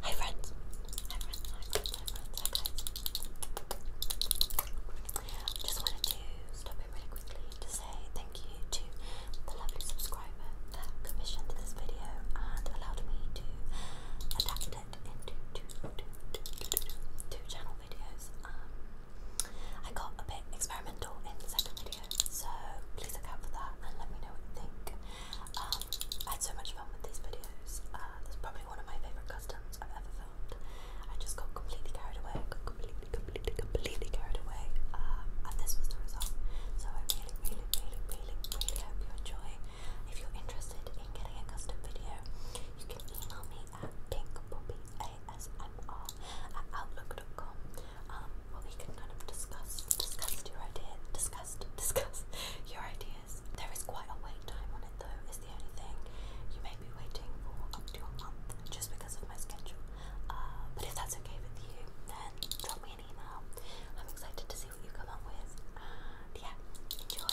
Hi friends. Hi Just wanted to stop in really quickly to say thank you to the lovely subscriber that commissioned this video and allowed me to adapt it into two, two, two, two, two, two channel videos. Um, I got a bit experimental in the second video, so please look out for that and let me know what you think. Um, I had so much fun with these videos. Uh, this is probably one of my favourite customs I've ever filmed. I just got completely carried away. I got completely, completely, completely carried away. Um, and this was the result. So I really, really, really, really, really hope you enjoy. If you're interested in getting a custom video, you can email me at pinkpoppyasmr at outlook.com um, we can kind of discuss, discuss your ideas, discuss, discuss your ideas. There is quite a wait time on it though, is the only thing. You may be waiting for up to a month just because of my schedule. Uh, but if that's okay with you, then drop me an email. I'm excited to see what you come up with. yeah, enjoy.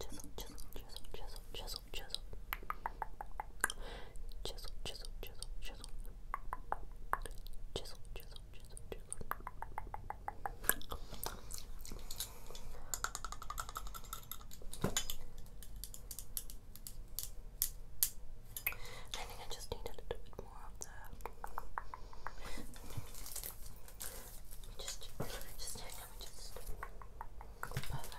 Chisel, chisel, chisel, chisel, chisel, chisel, chisel, chisel, chisel, chisel, chisel, chisel, chisel, I think I just need a little bit more of the. Just, just, just, just.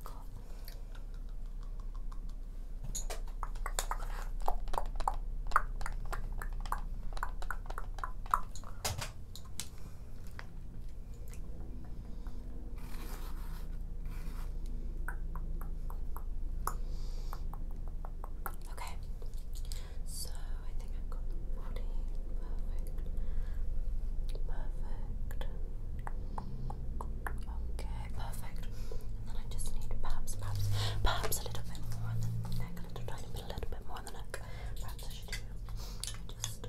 Okay, so I think I've got body. Perfect. Perfect. Okay, perfect. And then I just need perhaps, perhaps, perhaps a little bit more on the a little bit, more on the Perhaps I should do just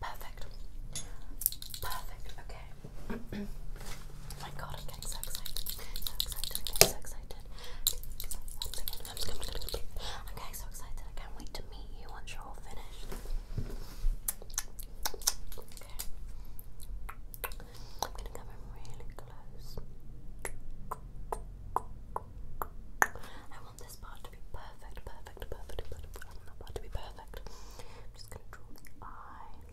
Perfect. Perfect. Okay. oh my god, I'm getting so excited. So excited. so excited. I'm getting so excited. I can't wait to meet you once you're all finished. Okay. I'm gonna come in really close. I want this part perfect, perfect, perfect, perfect. I am not know to be perfect. I'm just gonna draw the eye.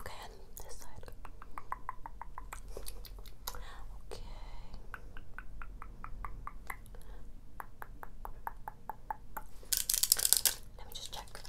Okay, this side. Okay. Let me just check. Just check.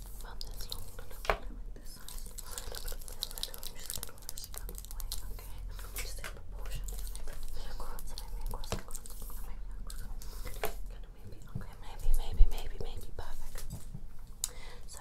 found this okay? Maybe maybe, maybe, maybe, maybe, perfect. So,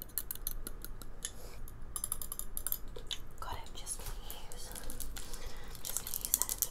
God, I'm just gonna use, just gonna use that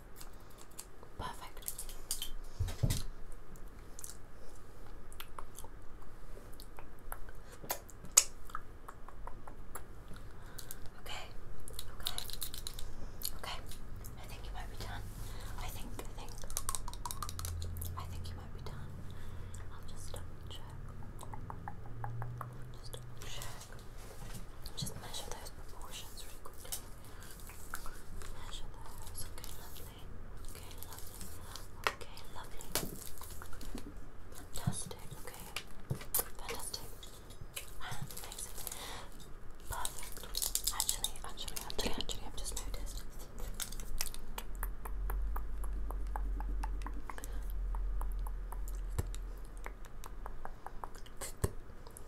Perfect. Okay, okay, okay. I think you might be done. I think, I think, I think you might be done. I'll just double check. Just double check. Just measure those proportions really quickly. Okay, lovely. Okay, lovely. Okay, lovely. Fantastic. Okay. Fantastic. Amazing. Perfect. Actually, actually, actually, actually, I've just noticed. Amazing,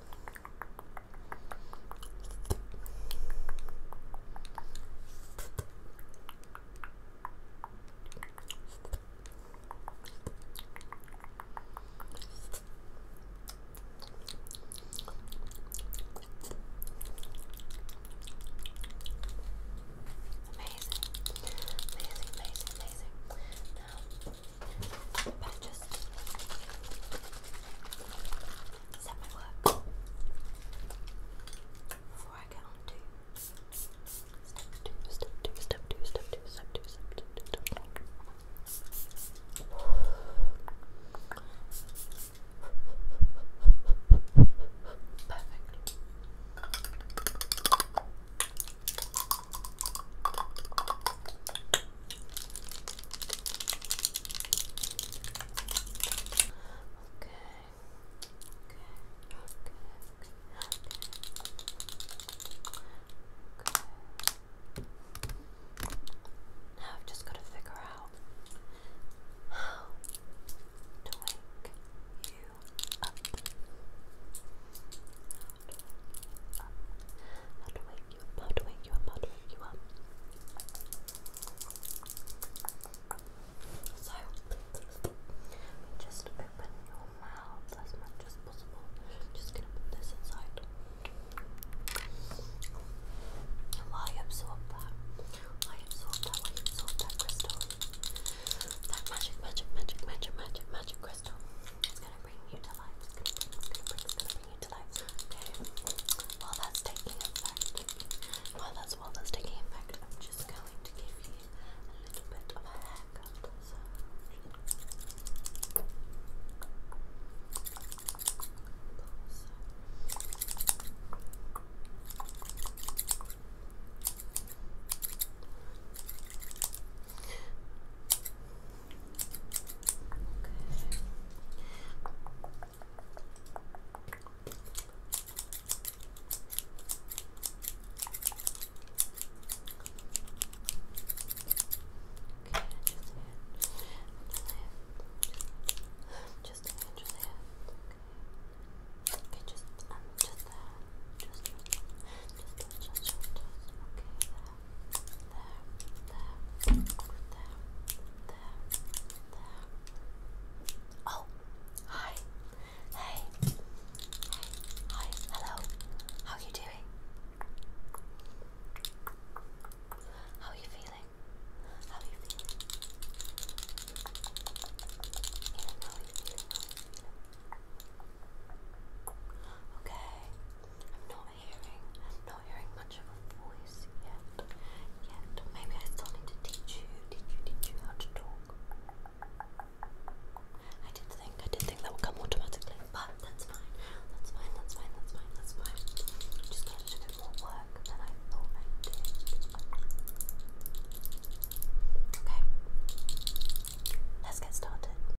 amazing, amazing, amazing. Now, Better just set my work before I get on to step two, step two, step two, step two, step two, step two, step two. Perfect. Perfect. Now I've just got to figure out how to wake you up up. How to wake you up, how to wake you up, how to wake you up. So, just open your mouth as much as possible. Just gonna put this inside. Why absorb that? Why absorb that? Why absorb that crystal? That magic, magic, magic, magic, magic, magic crystal. It's gonna bring you to life continue While that's taking effect, while that's while that's taking effect, I'm just going to give you a little bit of a haircut. So just the hand, just the hand. Okay, just, um, just the hand. Just, just, just, just, just, okay, the hand there, Oh, hi, hey, hi, hello. How are you doing? how are you feeling? How are you feeling? Okay, I'm not not hearing much of a voice yet. Yet, maybe I still need to teach you, teach you, teach you how to talk. I did think, I did think that would come automatically, but that's fine. That's fine. That's fine. That's fine. That's fine. just gonna do more work than I Okay, let's get started.